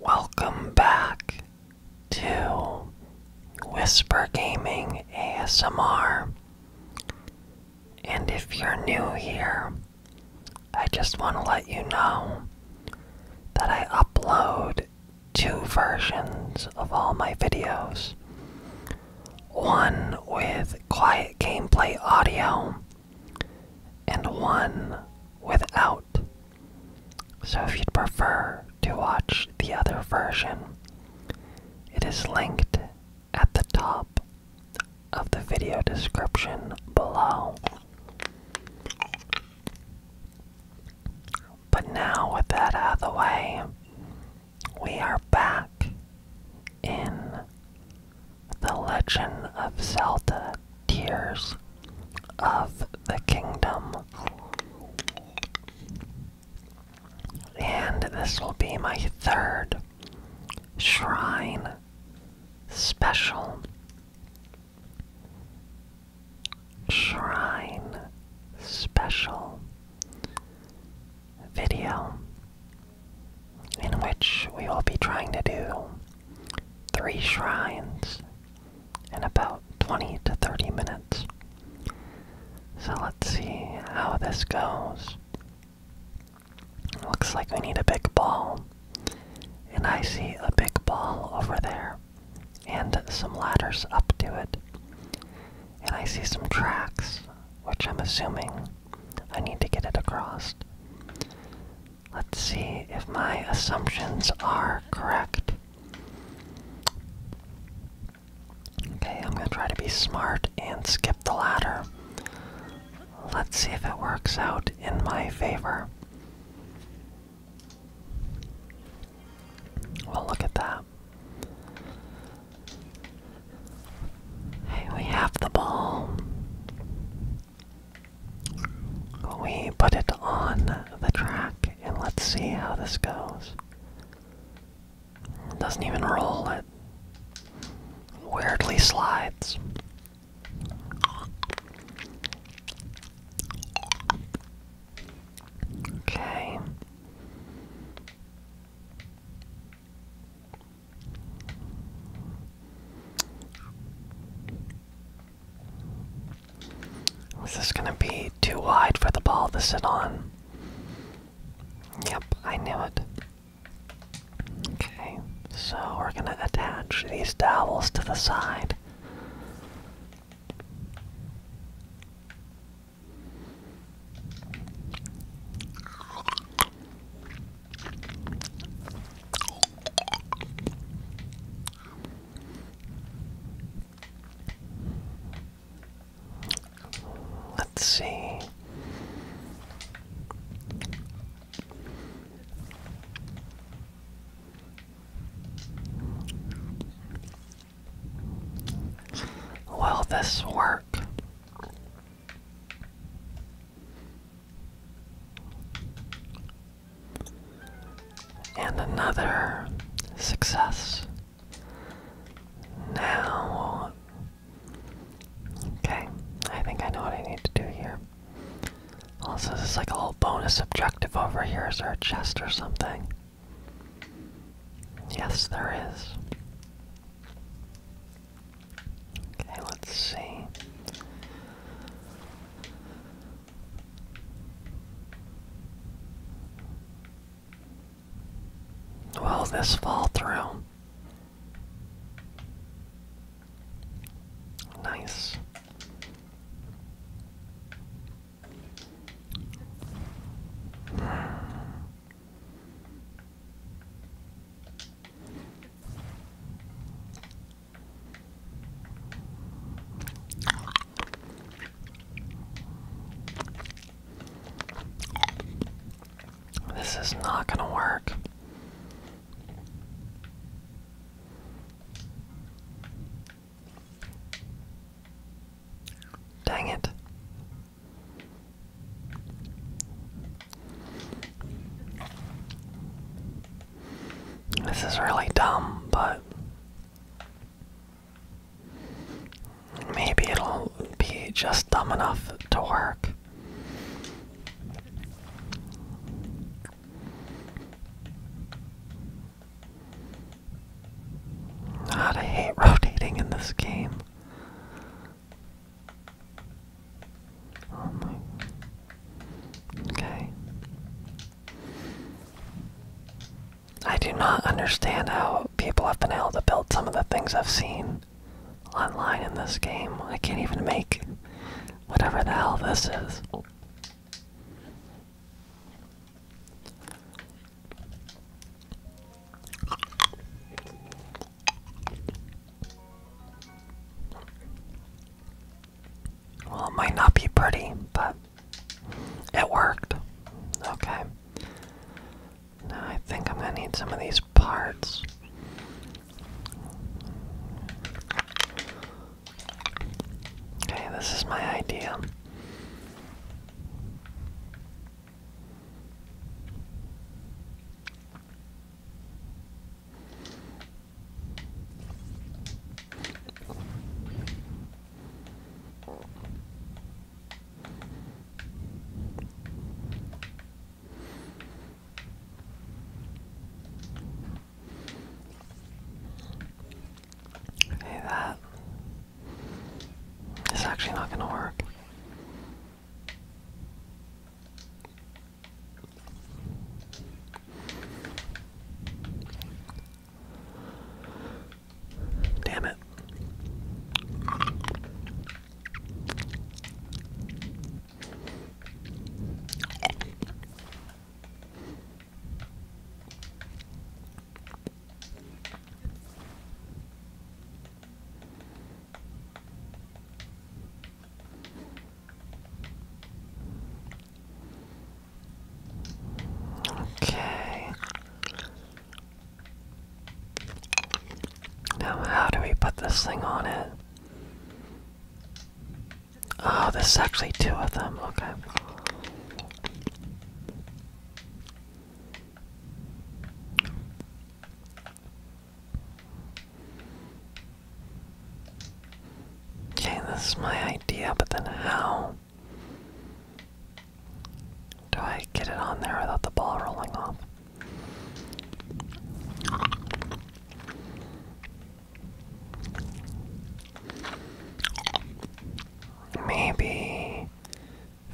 Welcome back to Whisper Gaming ASMR. And if you're new here, I just want to let you know that I upload two versions of all my videos one with quiet gameplay audio, and one without. So if you'd prefer to watch the other version, it is linked at the top of the video description below. But now, with that out of the way, we are back in The Legend of Zelda Tears of the Kingdom. And this will be my third shrine special. Shrine special video in which we will be trying to do three shrines in about 20 to 30 minutes. So let's see how this goes. Looks like we need a big ball. And I see a big ball over there. And some ladders up to it. And I see some tracks, which I'm assuming I need to get it across. Let's see if my assumptions are correct. Okay, I'm gonna try to be smart and skip the ladder. Let's see if it works out in my favor. Well, look at that. Hey, we have the ball. We put it on the track and let's see how this goes. It doesn't even roll, it weirdly slides. Okay. Is this gonna be too wide for the ball to sit on? Yep, I knew it. Okay, so we're gonna attach these dowels to the side. Let's see. Will this work? And another success. Now, okay, I think I know what I need to do here. Also, this is like a little bonus objective over here. Is there a chest or something? Yes, there is. Okay, let's see. Will this fall through? Nice. Hmm. This is not going to work. Dang it. This is really dumb, but maybe it'll be just dumb enough to work. I hate rotating in this game. Oh okay. I do not understand how people have been able to build some of the things I've seen online in this game. I can't even make whatever the hell this is. Well, it might not be pretty, but it worked. Okay. I think I'm going to need some of these parts. Okay, this is my idea. Okay, that is actually not gonna work. Damn it. Okay. Now, how do we put this thing on it? Oh, this actually two of them. Okay. Okay, this is my idea, but then how do I get it on there without the ball rolling off? Maybe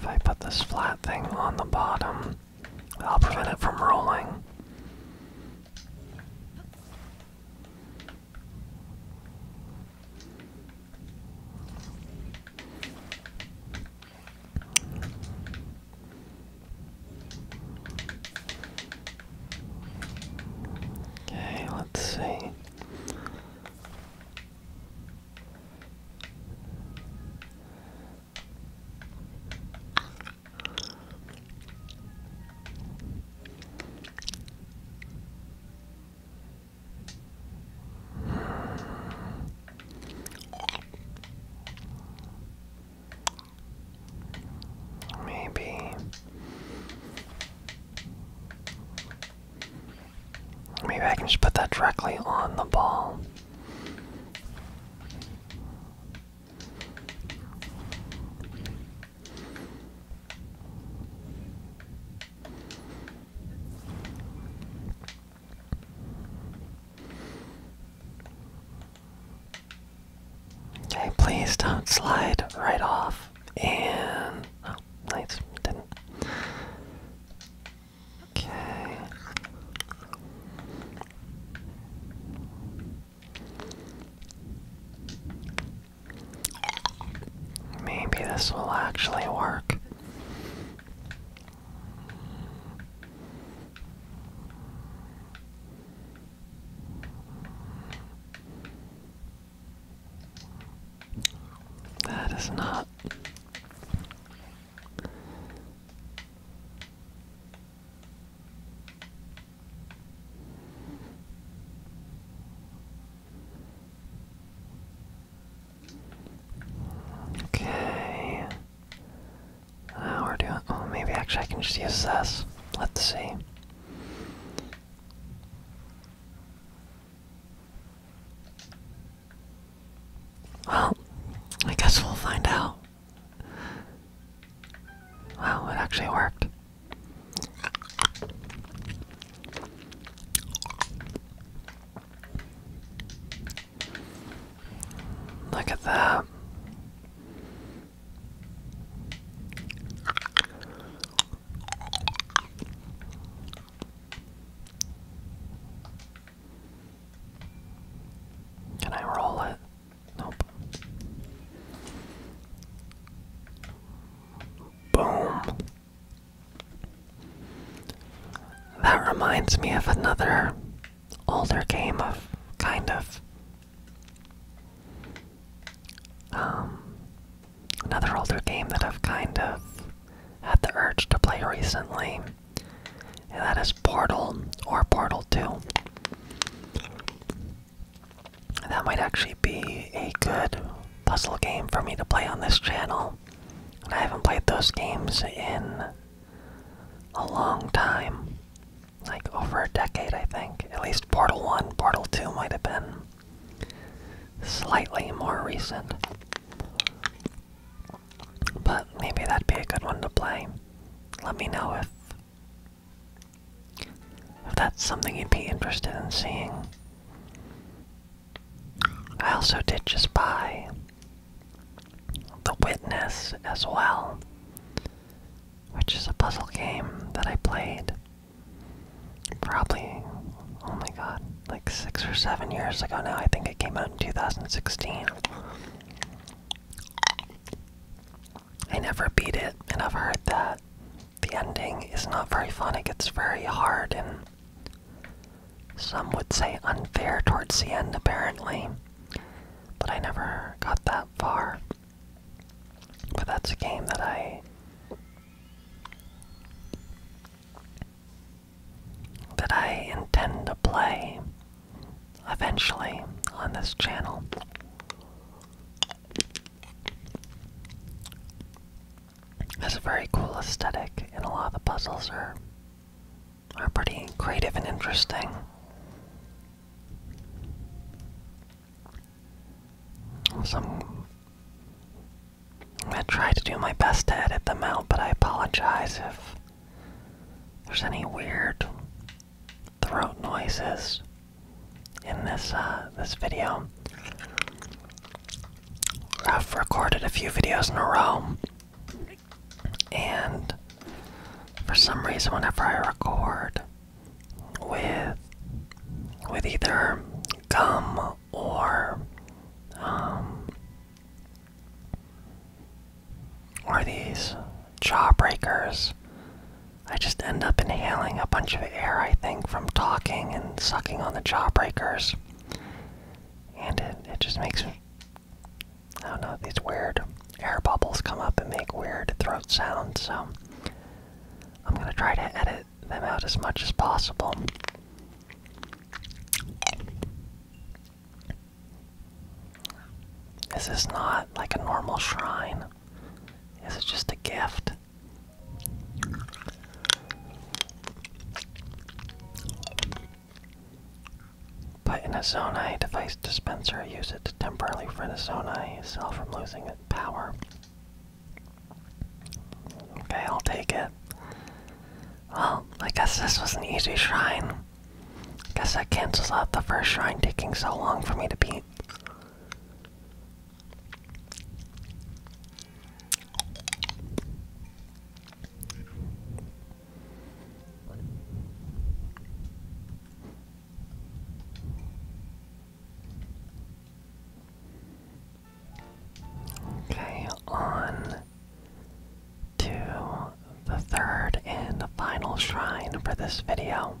if I put this flat thing on the bottom, I'll prevent it from rolling. Okay, let's see. Maybe maybe I can just put that directly on the ball. Okay, please don't slide right off. And oh, nice, didn't. Okay. Maybe this will actually work. That is not Okay. Now uh, we're doing. Oh, maybe actually I can just use this. Let's see. Well, I guess we'll find out. Wow, it actually worked. Look at that. Can I roll it? Nope. Boom. That reminds me of another older game of kind of um another older game that I've kind of had the urge to play recently. And that is Portal or Portal 2. That might actually be a good puzzle game for me to play on this channel. I haven't played those games in a long time. Like over a decade, I think. At least Portal 1, Portal 2 might have been slightly more recent. But maybe that'd be a good one to play. Let me know if if that's something you'd be interested in seeing. I also did just buy The Witness as well, which is a puzzle game that I played probably, oh my god, like six or seven years ago now. I think it came out in 2016. I never beat it, and I've heard that the ending is not very fun. It gets very hard, and some would say unfair towards the end, apparently. But I never got that far. But that's a game that I that I intend to play eventually on this channel. Has a very cool aesthetic, and a lot of the puzzles are are pretty creative and interesting. So I'm gonna try to do my best to edit them out, but I apologize if there's any weird throat noises in this uh, this video. I've recorded a few videos in a row, and for some reason, whenever I record with with either gum or um, or these jawbreakers, I just end up inhaling a bunch of air, I think, from talking and sucking on the jawbreakers. And it, it just makes, I don't know, these weird air bubbles come up and make weird throat sounds, so I'm gonna try to edit them out as much as possible. This Is not like a normal shrine? Is it just a gift? Put in a Zonai device dispenser, use it to temporarily free the Zonai cell from losing its power. Okay, I'll take it. Well, I guess this was an easy shrine. Guess that cancels out the first shrine taking so long for me to beat. Okay, on to the third and final shrine for this video.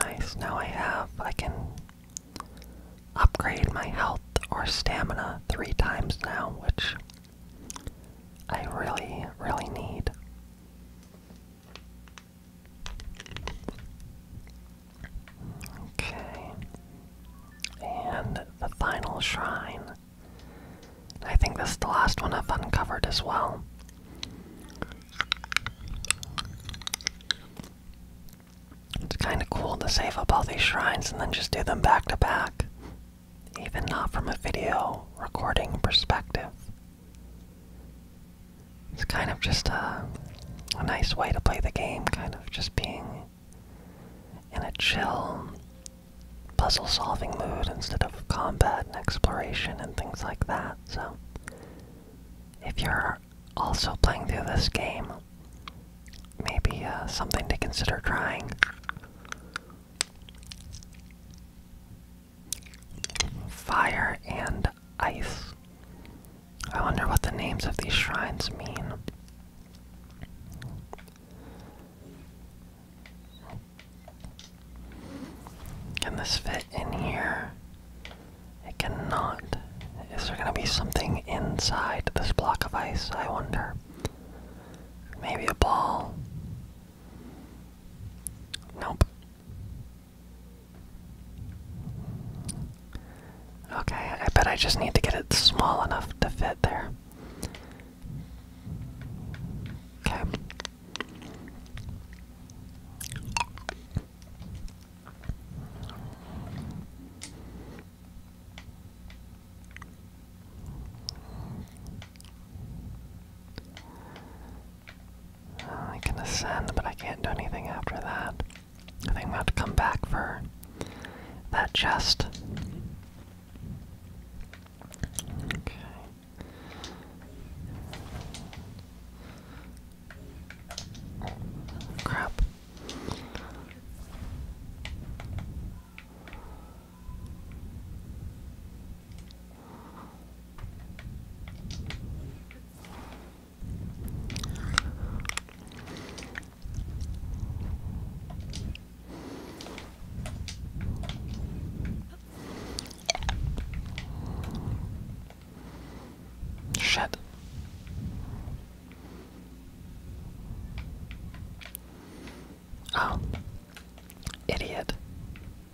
Nice, now I have, I can upgrade my health or stamina three times now, which I really, really need. Okay. And the final shrine. I think this is the last one I've uncovered as well. It's kind of cool to save up all these shrines and then just do them back to back, even not from a video recording perspective. It's kind of just a, nice way to play the game, kind of just being in a chill puzzle solving mood instead of combat and exploration and things like that. So, if you're also playing through this game, maybe uh, something to consider trying. Fire and ice. I wonder what the names of these shrines mean. Can this fit in here? It cannot. Is there gonna be something inside this block of ice? I wonder. Maybe a ball. Nope. Okay, I bet I just need to get it small enough to fit there. Okay. Uh, I can ascend, but I can't do anything after that. I think I'm going have to come back for that chest. Okay. Crap. Shit. Oh. Idiot.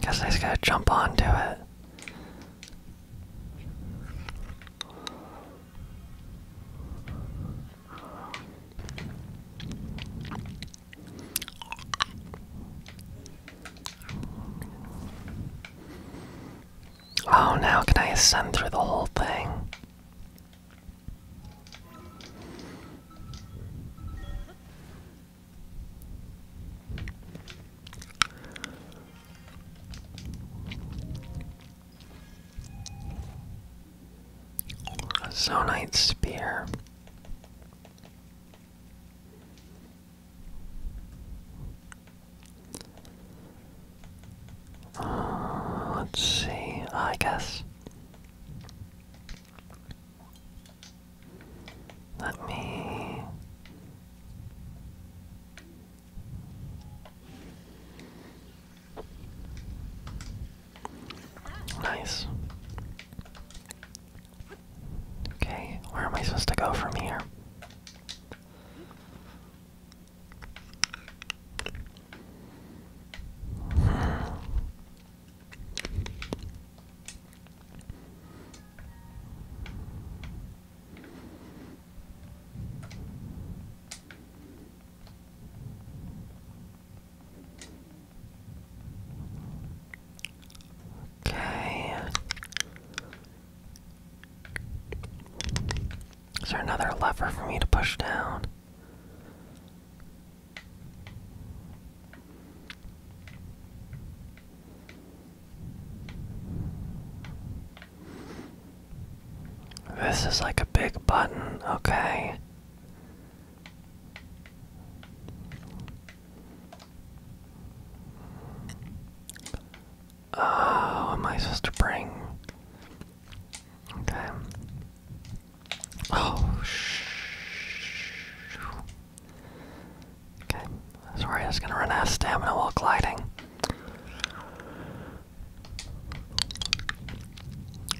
Guess I just gotta jump onto it. Oh, now can I ascend through the whole thing? A Zonite Spear. let's see, I guess let me Nice. Okay, where am I supposed to go from here? Hmm. Okay. Is there another lever for me to push down? This is like a big button, okay. Oh, am I supposed to bring? Okay. Oh, shh. Okay, sorry, I was gonna run out of stamina while gliding.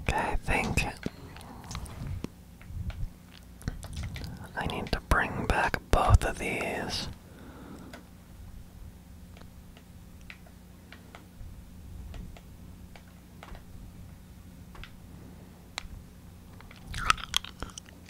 Okay, I think I need to bring back both of these.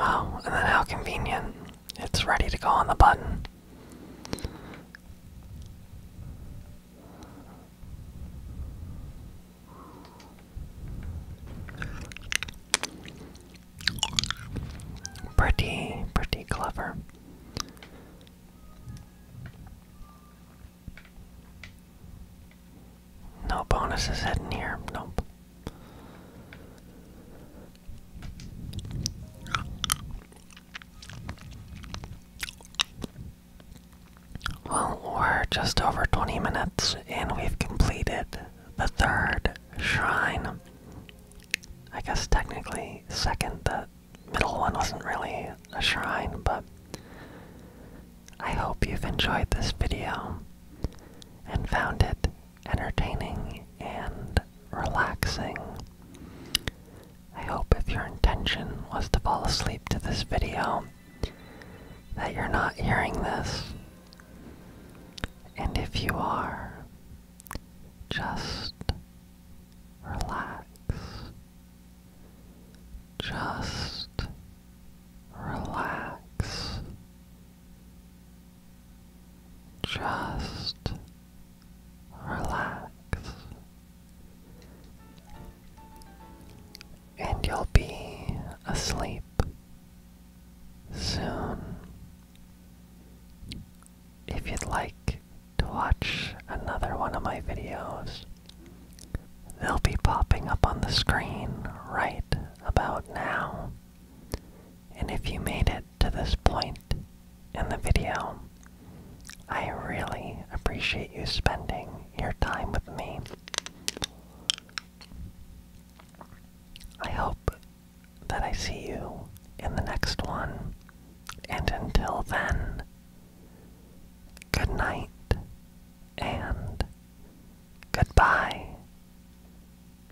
Oh, and then how convenient. It's ready to go on the button. Pretty, pretty clever. No bonuses hidden here. Nope. Well, we're just over 20 minutes and we've completed the third shrine. I guess technically, second, the middle one wasn't really a shrine, but I hope you've enjoyed this video and found it entertaining and relaxing. I hope if your intention was to fall asleep to this video, that you're not hearing this. And if you are, just relax. Just relax. Just relax, and you'll be asleep soon. If you'd like to watch another one of my videos, they'll be popping up on the screen right about now. And if you made it to this point in the video. I really appreciate you spending your time with me. I hope that I see you in the next one. And until then, good night and goodbye.